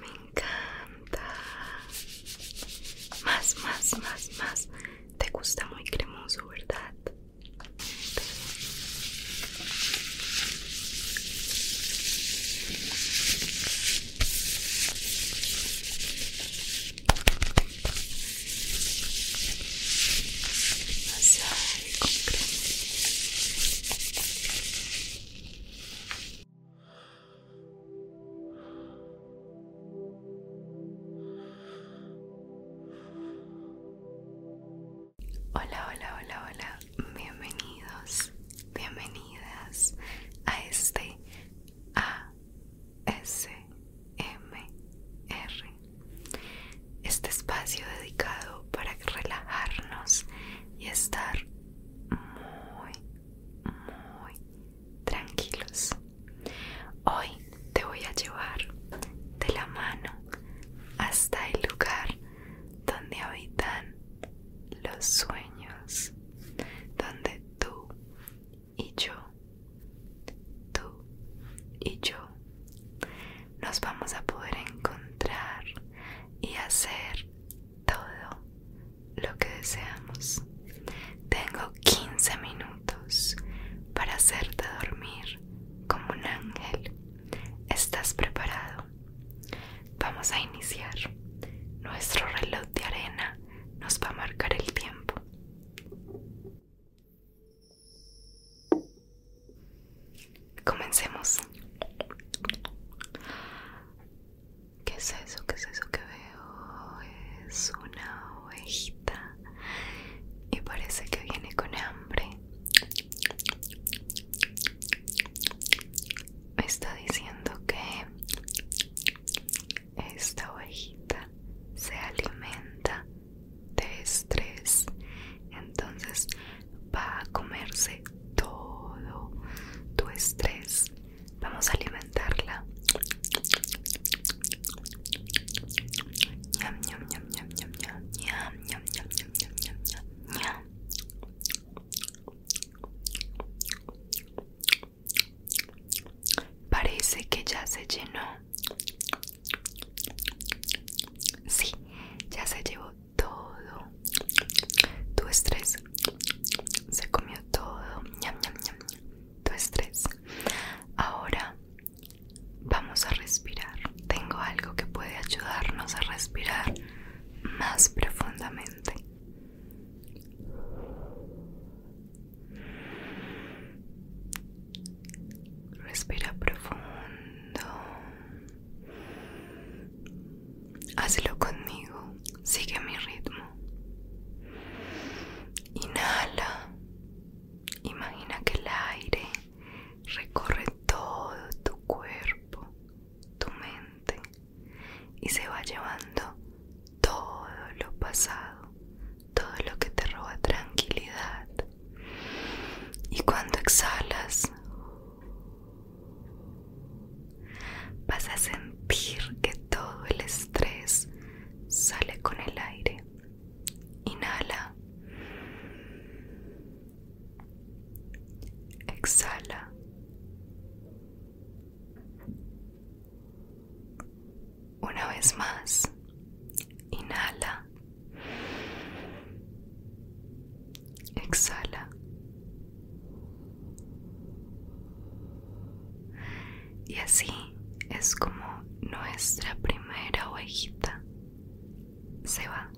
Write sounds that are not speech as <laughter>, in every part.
Me encanta. Más, más, más, más. Te gusta muy cremoso, ¿verdad? Hola, hola, hola, hola. Bienvenidos, bienvenidas a este ASMR. Este espacio dedicado para relajarnos y estar muy, muy tranquilos. Hoy te voy a llevar de la mano hasta el lugar donde habitan los sueños, donde tú y yo, tú y yo, nos vamos a poder encontrar y hacer todo lo que deseamos. Tengo 15 minutos para hacerte dormir como un ángel. ¿Estás preparado? Vamos a iniciar. Nuestro reloj de arena nos va a marcar el tiempo. Comencemos. ¿Qué es eso? ¿Qué es eso que veo? Es una ovejita y parece que viene con hambre. Me está diciendo que esta ovejita se alimenta de estrés entonces va a comerse todo tu estrés vamos a alimentarla ñam, ñam, ñam, Parece que ya se llenó. Sí, ya se llevó todo tu estrés. Se comió todo. Ñam, ñam, tu estrés. Ahora vamos a respirar. Tengo algo que puede ayudarnos a respirar más profundamente. Respira profundo. Hazlo conmigo, sigue mi ritmo. Inhala, imagina que el aire recorre todo tu cuerpo, tu mente y se va llevando todo lo pasado, todo lo que te roba tranquilidad. Y cuando exhalas, Vas a sentir que todo el estrés sale con el aire. Inhala. Exhala. Una vez más. Inhala. Exhala. Y así es como nuestra primera ovejita se va.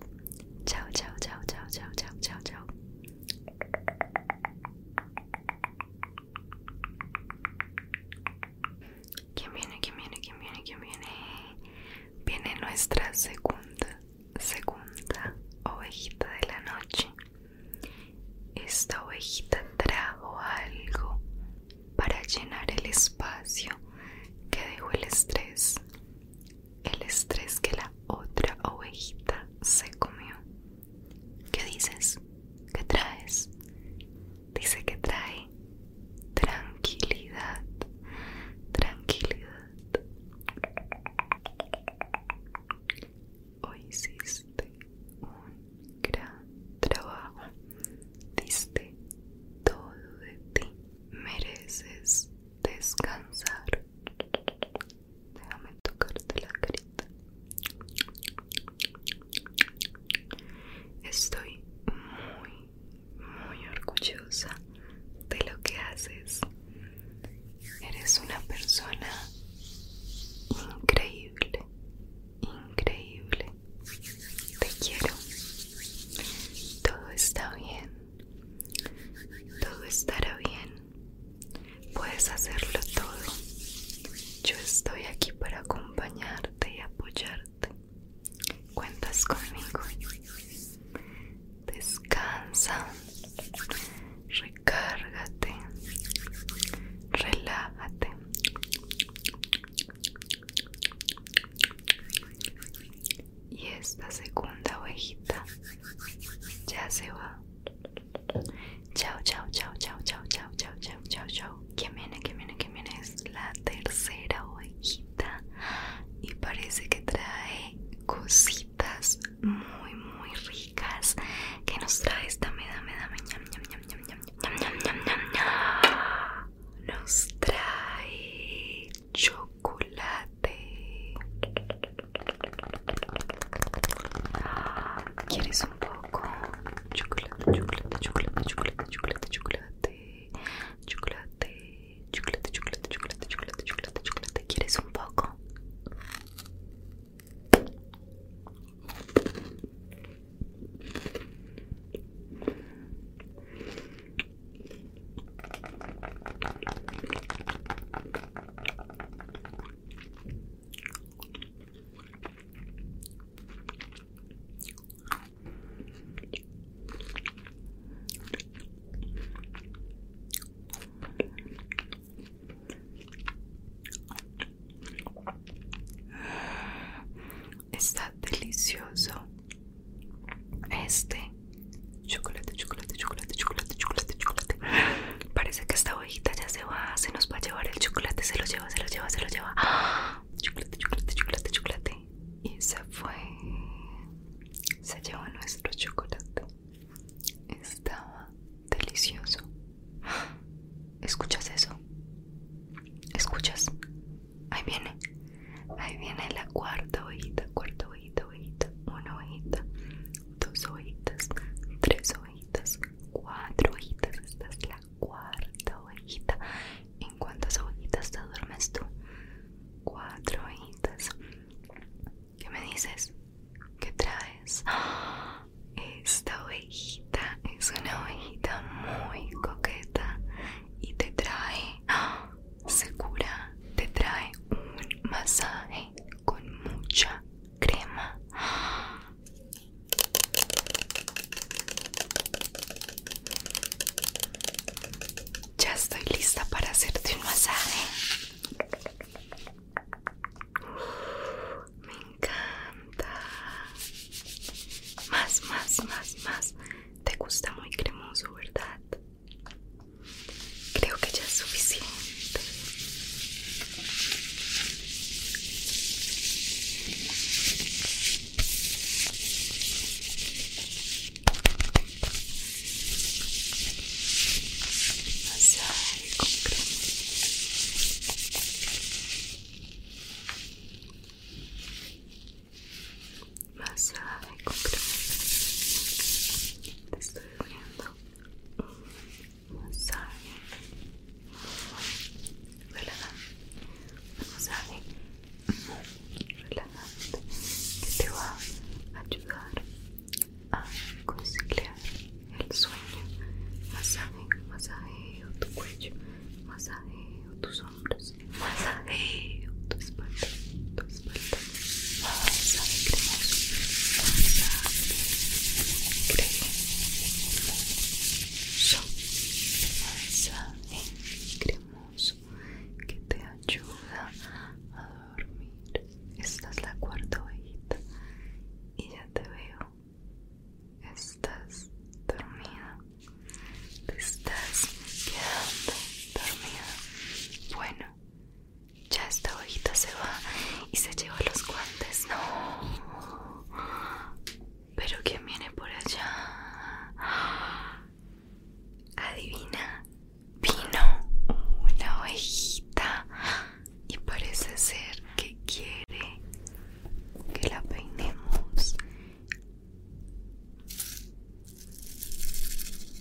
Chao, chao, chao, chao, chao, chao, chao, chao. ¿Quién viene? ¿Quién viene? ¿Quién viene? ¿Quién viene? Viene nuestra segunda segunda ovejita de la noche. Esta ovejita trajo algo para llenar el espacio que dejó el estrés, el estrés que la otra ovejita se comió. ¿Qué dices? ¿Qué traes? Dice que trae tranquilidad, tranquilidad. Hoy hiciste un gran trabajo, diste todo de ti, mereces descansar. Déjame tocarte la carita. Estoy muy muy orgullosa de lo que haces. Eres una persona increíble, increíble. Te quiero. Todo está bien. Todo estará bien. Puedes hacerlo todo. Yo estoy aquí para acompañarte y apoyarte. Cuentas conmigo. Descansa. Recárgate. Relájate. Y esta segunda ovejita ya se va. Chao, chao, chao, chao, chao, chao, chao, chao, chao, chao. ¿Quién viene? ¿Qué viene? ¿Qué viene? Es la tercera ojita y parece que trae cositas muy muy ricas que nos trae esta me dame dame nos trae chocolate quieres un poco chocolate chocolate chocolate chocolate chocolate chocolate chocolate chocolate, chocolate, chocolate, chocolate, chocolate, chocolate. ¿Quieres un poco? Está delicioso este chocolate, chocolate, chocolate, chocolate, chocolate, chocolate. Parece que esta hojita ya se va, se nos va a llevar el chocolate, se lo lleva, se lo lleva, se lo lleva. ¡Ah! Chocolate, chocolate, chocolate, chocolate y se fue. Se llevó nuestro chocolate. Estaba delicioso. ¿Escuchas eso? ¿Escuchas? Ahí viene. Ahí viene la cuarta ojita, cuarta ojita, ojita, Una ojita, dos ojitas, tres ojitas, cuatro ojitas. Esta es la cuarta ojita cuántas ovejitas te duermes tú? Cuatro ovejitas ¿Qué me dices? ¿Qué traes? <gasps> Esta ovejita es una ovejita muy coqueta y te trae, <gasps> segura, te trae un masaje con mucha crema. Ya estoy lista para hacerte un masaje. Me encanta. Más, más, más, más. Te gusta muy cremoso, ¿verdad? Creo que ya es suficiente masaje con crema masaje con crema te estoy viendo masaje relajante masaje relajante que te va a ayudar a conciliar el sueño. Masaje, masajeo tu cuello, masajeo tus hombros, masajeo tu espalda, tu espalda. Masaje cremoso, masaje cremoso, masaje cremoso que te ayuda a dormir. Esta es la cuarta ovejita y ya te veo. Estás dormida. Te estás quedando dormida. Bueno, ya esta ovejita se va y se lleva los guantes. No. Pero ¿quién viene por allá? Adivina, vino una ovejita y parece ser que quiere que la peinemos.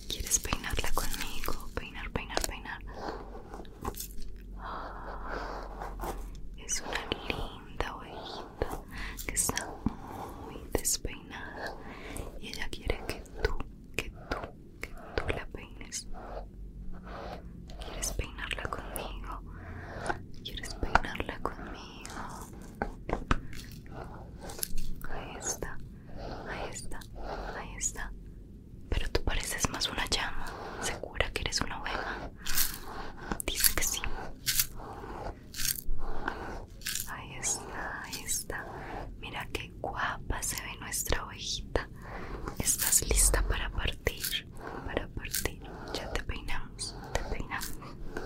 ¿Quieres peinarla conmigo? Peinar, peinar, peinar. Es una linda ovejita que está muy despeinada y ella quiere que tú, que tú, que tú la peines. ¿Quieres peinarla conmigo? ¿Quieres peinarla conmigo? Ahí está, ahí está, ahí está. Pero tú pareces más una llama. ¿Segura que eres una oveja? Dice que sí. Ahí está, ahí está. Mira qué guapa se ve nuestra ovejita. ¿Estás lista para partir? Para partir. Ya te peinamos, te peinamos,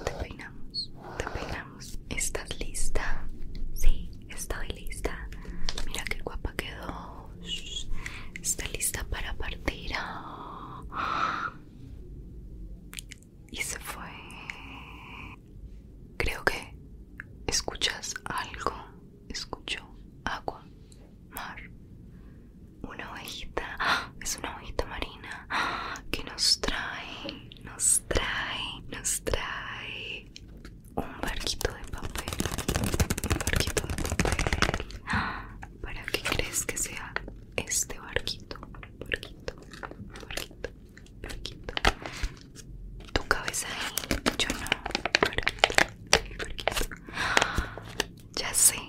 te peinamos, te peinamos. ¿Estás lista? Sí, estoy lista. Mira qué guapa quedó. Está lista para partir. Ah y se fue. Creo que escuchas algo. Escucho agua, mar, una ovejita. ¡Ah! Es una ovejita marina ¡Ah! que nos trae, nos trae, nos trae un barquito de papel. Un barquito de papel. ¡Ah! ¿Para qué crees que sea este barquito? Barquito, barquito. Parquito. Tu cabeza ahí, yo no. Parquito, parquito. Ya sé.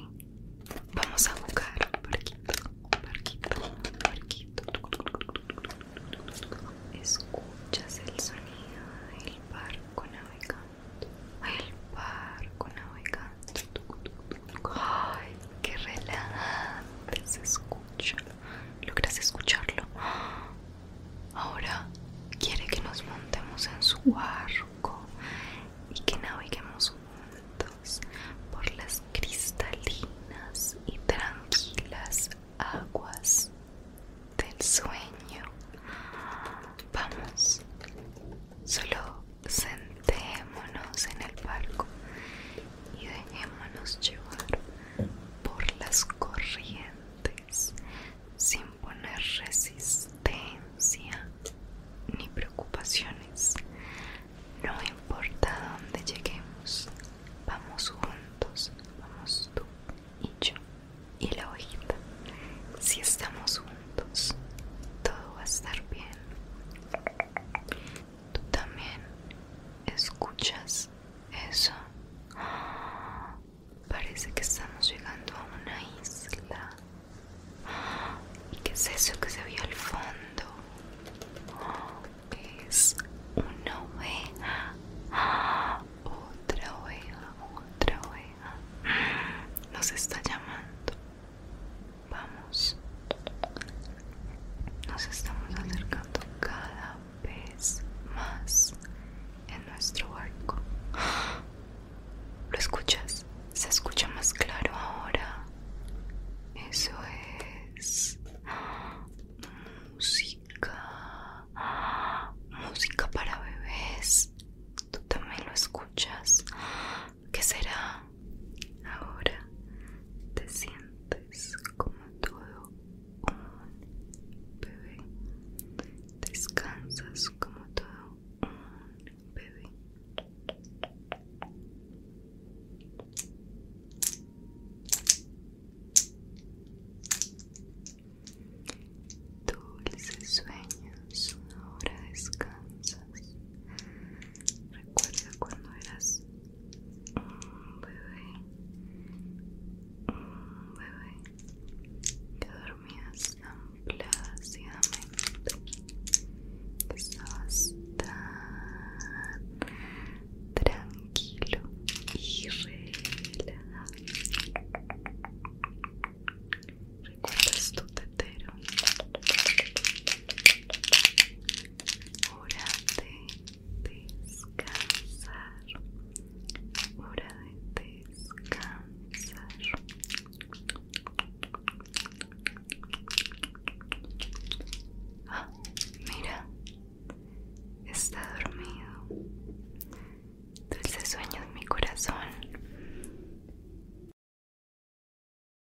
Vamos a buscar Parquito, parquito, parquito. Escuchas el sonido del barco navegando. El barco navegando. Ay, qué relajante se escucha. ¿Logras escucharlo? Ahora quiere que nos montemos en su barco y que naveguemos juntos por las cristalinas y tranquilas aguas del sueño. Vamos, solo sentimos dejémonos en el palco y dejémonos llevar por las corrientes sin poner resistencia ni preocupaciones. No importa dónde lleguemos, vamos juntos, vamos tú y yo y la ojita Si estamos juntos, todo va a estar bien tú también escuchas eso. Parece que estamos llegando a una isla. ¿Y qué es eso que se vio al fondo? Es una oveja. Otra oveja, otra oveja. Nos está llamando. Vamos. Nos estamos acercando cada vez más en nuestro barco. ¿Lo escuchas? Se escucha más claro ahora. Eso es música. Música para bebés. Tú también lo escuchas. ¿Qué será? Ahora te sientes como todo un bebé. Descansas como todo un bebé. Dulces sueños, ahora descansas. Recuerda cuando eras un bebé, un bebé, que dormías ampliamente, que estabas tan tranquilo y relajado. ¿Recuerdas tu tetero? hora de descansar, hora de descansar. Ah, mira, está dormido. sueño de mi corazón.